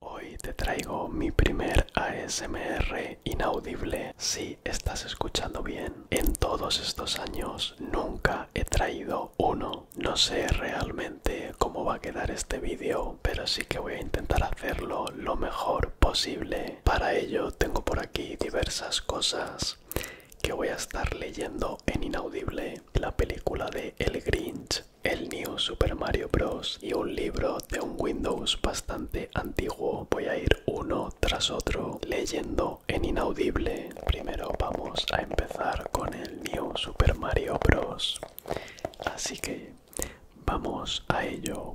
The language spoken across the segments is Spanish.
Hoy te traigo mi primer ASMR inaudible. Si estás escuchando bien, en todos estos años nunca he traído uno. No sé realmente cómo va a quedar este vídeo, pero sí que voy a intentar hacerlo lo mejor posible. Para ello tengo por aquí diversas cosas que voy a estar leyendo en inaudible. La película de El Grinch el New Super Mario Bros. y un libro de un Windows bastante antiguo. Voy a ir uno tras otro leyendo en inaudible. Primero vamos a empezar con el New Super Mario Bros. Así que vamos a ello.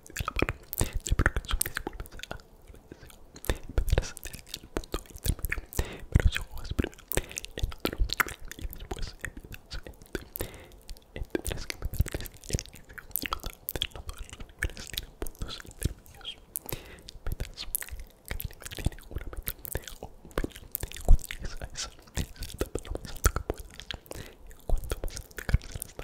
la amor, de que se vuelve a agradecer, vendrás desde el punto intermedio, pero si juegas primero en otro y después tendrás que el los niveles tienen puntos intermedios, metas, cada nivel tiene una meta o un cuando a esa, lo más alto que puedas, más alto que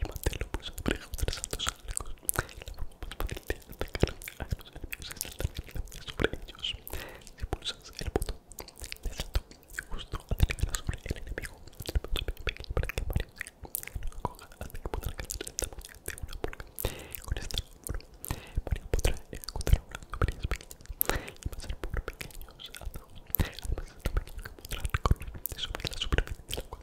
y mantenerlo pulsado para ajustar saltos largos. La forma más fácil de atacar a los enemigos es saltar sobre ellos. Si pulsas el botón de salto justo antes de llegar sobre el enemigo, el botón es pequeño para que Mario lo coja hasta que podrá alcanzar el tamaño de una pulga. Con esta forma, Mario podrá ejecutar una pequeña y pasar por pequeños atajos. Además, es tan pequeño que podrá recorrer sobre la superficie del agua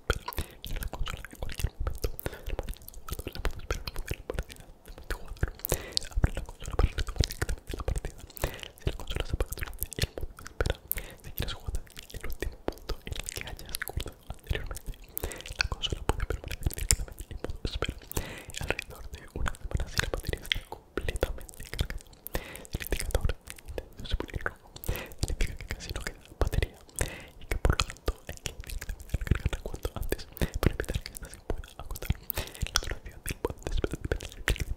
en la consola en cualquier momento. el de partida Abre la consola para retomar directamente la partida. Si la consola se apaga durante el modo de espera, si quieres jugar el último punto en el que hayas cortado anteriormente, la consola puede permanecer directamente en modo de espera alrededor de una semana si la batería está completamente cargada. El indicador de se significa que casi no queda batería y que por lo tanto hay que intentar recargarla cuanto antes para evitar que esta se pueda agotar. La duración del bot de la batería,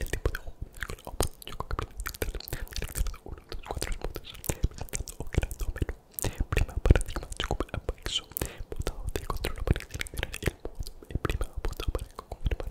el tipo de juego del Open, yo creo que presentar uno de los cuatro puntos, presentando un fenómeno, prima paradigma, chocobo paixo, botado de control para seleccionar el modo, prima botado para confirmar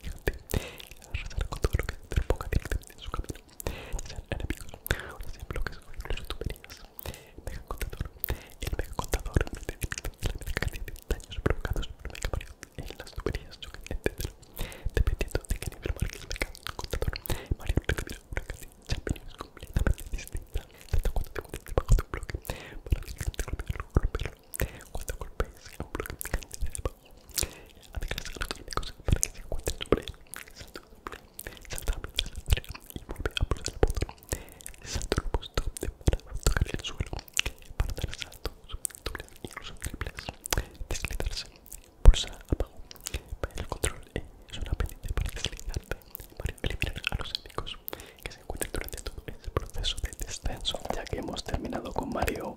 rezar con todo lo que te directamente en su camino, sean enemigos, o sean bloques o incluso tuberías. Mega contador, el mega contador de la mega cantidad de daños provocados por el mega marido en las tuberías, etc. Dependiendo de qué nivel marque el mega contador, Mario recibirá una cantidad de champiñones completamente distinta. Tanto cuando te encuentres debajo de un bloque, para que el romperlo, romperlo cuando golpees a un bloque picante de abajo, a los químicos para que se encuentren sobre él. Salta doble, salta de la y vuelve a poner el botón. el busto de para tocar el suelo, para dar saltos, dobles y incluso triples. Deslizarse, pulsa abajo, para el control eh, es una pendiente para deslizarte para eliminar a los enemigos que se encuentran durante todo este proceso de descenso ya que hemos terminado con Mario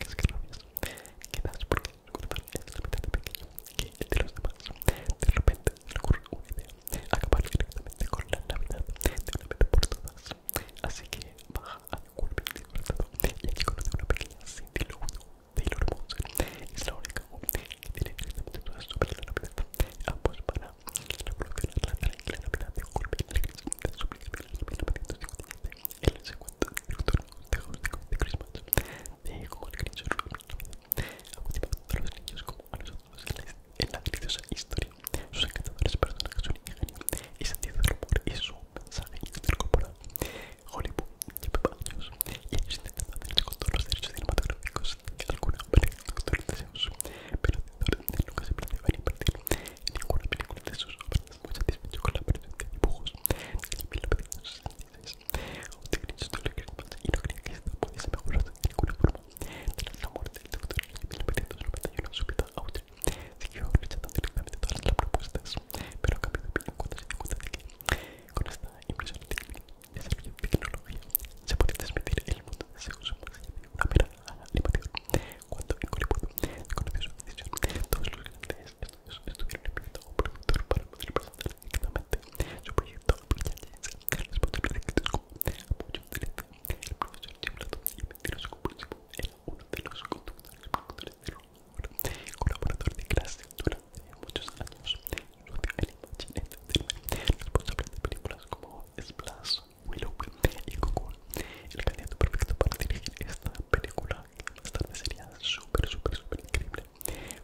es que las novias que das porque recordar es la mitad de pequeño que el de los demás. De repente le ocurre una idea, acabar directamente con la Navidad de una vez por todas. Así que baja a de disfrazado y aquí conoce una pequeña Cindy de los Monson. Es la única que tiene directamente dudas sobre la Navidad. Ambos van a revolucionar la Navidad de Kirby. Les suplica pedir los 1957 él el segundo director de Home de Christmas dejó al Grinch Ha motivado a los niños como a nosotros en la deliciosa historia. Sus encantadores personajes, son ingenio y sentido del humor y su mensaje intercorporado. Hollywood lleva años y ellos intentan hacerse con todos los derechos cinematográficos de alguna manera, doctor de Zeus, pero el doctor nunca se planteaba en invertir ninguna película de sus obras, muy satisfecho con la presencia de dibujos en 1966. Utilizo de lágrimas y no creía que esto pudiese mejorarse de ninguna forma. Tras la muerte del doctor en 1991, su vida Audrey, siguió rechazando directamente todas las propuestas, pero a cambio de opinión cuando se dio cuenta de que con esta impresión de tecnología se podía transmitir el mundo según su más de una mera animación. Cuando en Hollywood conoció su decisión, todos los grandes estudios estuvieron enviando a un productor para poder presentar directamente su proyecto a Los posibles éxitos como apoyo directo, el profesor simulado y mentiroso compulsivo era uno de los conductores productores de Ron colaborador de clase durante muchos años, socio el imaginario del responsable de películas como Splash, Willow y Goku el candidato perfecto para dirigir esta película más tarde sería súper súper súper increíble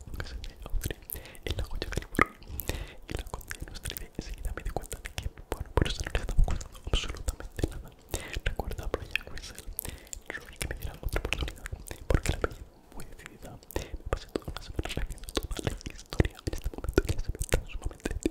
un caso de Audrey en la joya y la conté nuestra idea enseguida me di cuenta de que bueno por eso no le estamos contando absolutamente nada recuerda a Brian yo Rory que me diera otra oportunidad porque la es muy decidida me pasé toda una semana reviendo toda la historia en este momento que se me está sumamente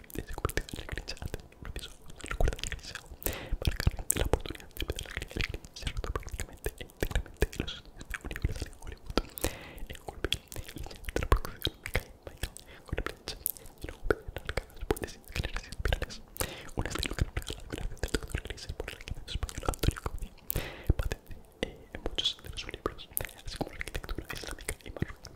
se convertido en la creencia antes de propios de la realizado para que la oportunidad de empezar la creencia. Se rotó prácticamente e íntegramente en los estudios de Universal en Hollywood. En Colby de la otra producción de Kyle Michael con Blanche y luego Pedro pues, Carlos por pues, decir generaciones virales. Un estilo que nos regala la gracia del doctor Grisel por el arquitecto español Antonio Gaudí. Patente eh, en muchos de sus libros, así como la arquitectura islámica y marroquí.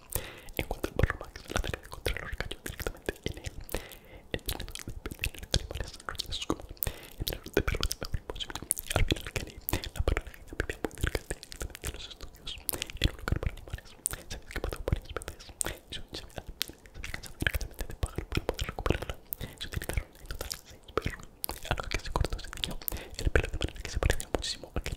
En cuanto al perro Max, la tarea de controlar cayó directamente en él. El Entrenador de los de animales roñosos como entrenador de perros de memoria imposible. Al final, Kenny, la paralelina vivía muy cerca directamente de los estudios, en un lugar para animales. Se había escapado varias veces y su había, se había cansado directamente de pagar para poder recuperarla. Se utilizaron en total seis perros, algo que se cortó ese niño el pelo de manera que se parecía muchísimo a que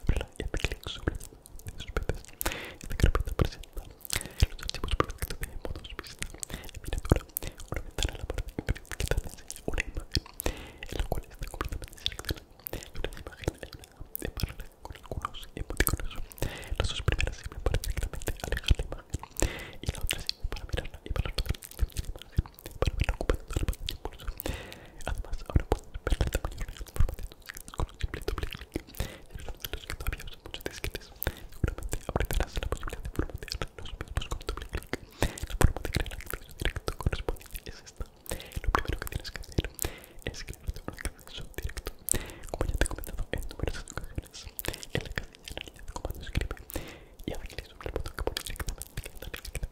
ábrela y haz clic sobre de sus veces. Esta carpeta presenta los archivos proyectos de modos y en miniatura, una ventana a la parte inferior que te enseña una imagen, en la cual está completamente seleccionada. Sobre la imagen hay una de paralela con algunos emoticonos. Las dos primeras sirven para directamente alejar la imagen y la otra sirve para mirarla y para rotar la imagen para verla ocupando la pantalla pulso. Además, ahora pueden ver el tamaño real de la con un simple doble clic si algunos de los que todavía usan muchos disquetes. Seguramente apretarás la posibilidad de formatear los mismos con doble clic. La forma de crear acceso directo correspondiente es esta. Lo primero que tienes que hacer es crearte un acceso directo. Como ya te he comentado en numerosas ocasiones, en la casilla de comando escribe y a clic sobre el botón que pone directamente, directamente,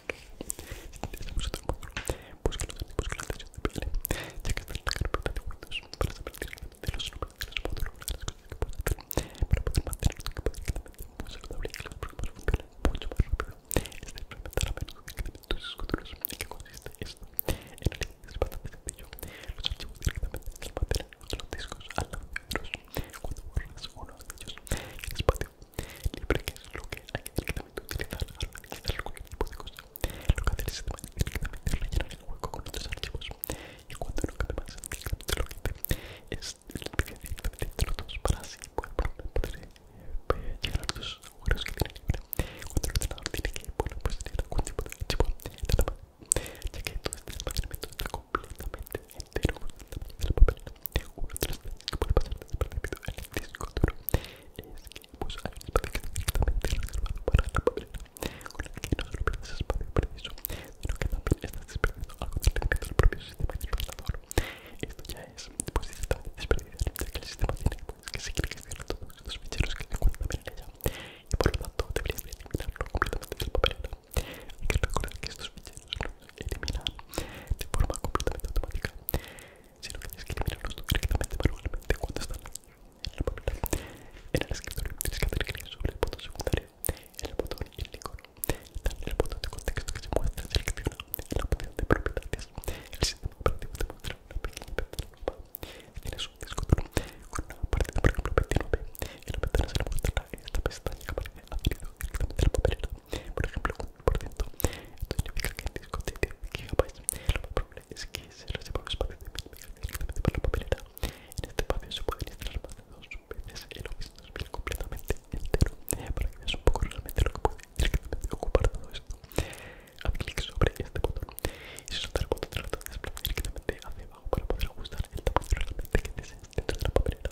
Si pues en la atención de PL, ya que está en la carpeta de Windows para saber directamente los números de los módulos de las cosas que puedes hacer para poder mantener tu equipo directamente muy saludable y que las programas funcionen mucho más rápido. Es de implementar a menudo directamente tus escuderos. ¿En qué consiste esto? En realidad es bastante sencillo. Los archivos directamente se almacenan en los discos al lado de otros. Cuando borras uno de ellos, el espacio libre que es lo que hay que directamente utilizar al la de cualquier tipo de cosa lo que hace el sistema es directamente rellenar el hueco con otros archivos y cuando no cabe directamente lo que es directamente entre los dos para así poder, poder eh, los huecos que tiene libre cuando el entrenador tiene que poner pues tener algún tipo de archivo nada más ya que todo este almacenamiento está completamente entero en el papel uno de que puede pasar en el disco duro es que pues, directamente reservado para con que no solo sino que también estás desperdiciando algo del propio sistema Esto ya es pues, el sistema tiene pues, que seguir todos ficheros que ella, y por lo tanto eliminarlo completamente Hay que recordar que estos ficheros eliminar de forma completamente automática, sino que tienes que eliminarlos directamente manualmente cuando están en la papelera. En el escritorio tienes que hacer clic sobre el botón secundario, el botón y el icono, en el botón de contexto que se muestra selecciona el botón de propiedades. El sistema operativo te muestra una pequeña de Tienes un disco con una de por ejemplo, 29. En la ventana se le en esta pestaña que aparece por ejemplo con un por ciento esto significa que el disco tiene 10 GB lo más probable es que se reserva el espacio de 1000 MB directamente para la papelera en este espacio se puede instalar más de dos veces el Office 2000 completamente entero para que veas un poco realmente lo que puede directamente ocupar todo esto haz clic sobre este botón y si soltará el botón trata de desplazar directamente hacia abajo para poder ajustar el tamaño realmente que deseas dentro de la papelera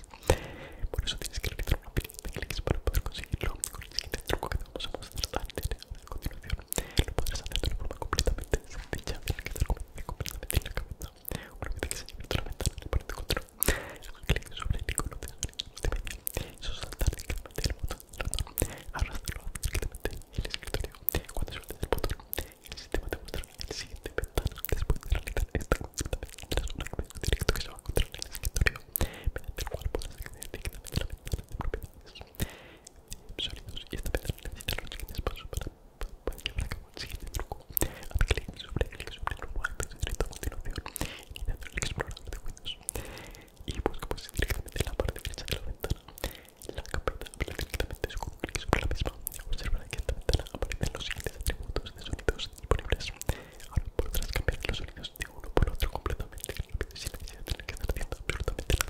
por eso tienes que realizar una pila de clics para poder conseguirlo. Con el siguiente truco que te vamos a mostrar a continuación, lo podrás hacer de una forma completamente sencilla, Tienes que estar completamente en la cabeza. Una vez que se invierta la ventana en la parte control, haga clic sobre el icono de multimedia. Eso saltar directamente el botón del ratón, arrastrarlo directamente en el escritorio. Cuando sueltes el botón, el sistema te mostrará el siguiente ventana después de realizar esta consulta. Las directo que se va a encontrar en el escritorio mediante el cual podrás acceder directamente a la ventana de propiedades eh, sólidos y esta ventana necesita los siguientes pasos para, para, llevar a cabo el siguiente truco. Haz clic sobre el sobre el lugar que directo a continuación, dentro del explorador de Windows y busca pues directamente en la parte derecha de la ventana. La carpeta habla directamente su un clic sobre la misma. Observará que en esta ventana aparecen los siguientes atributos de sonidos disponibles. Ahora cambiar los sonidos de uno por otro completamente que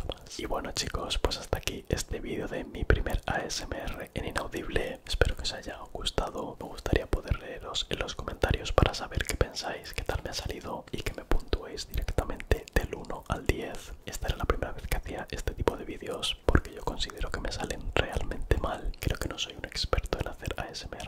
más. Y bueno chicos, pues hasta aquí este vídeo de mi primer ASMR en inaudible. Espero que os haya gustado. Me gustaría poder leeros en los comentarios para saber qué pensáis, qué tal me ha salido y que me puntuéis directamente del 1 al 10. Esta era la primera vez que hacía este tipo de vídeos porque yo considero que me salen realmente mal. Creo que no soy un experto en hacer ASMR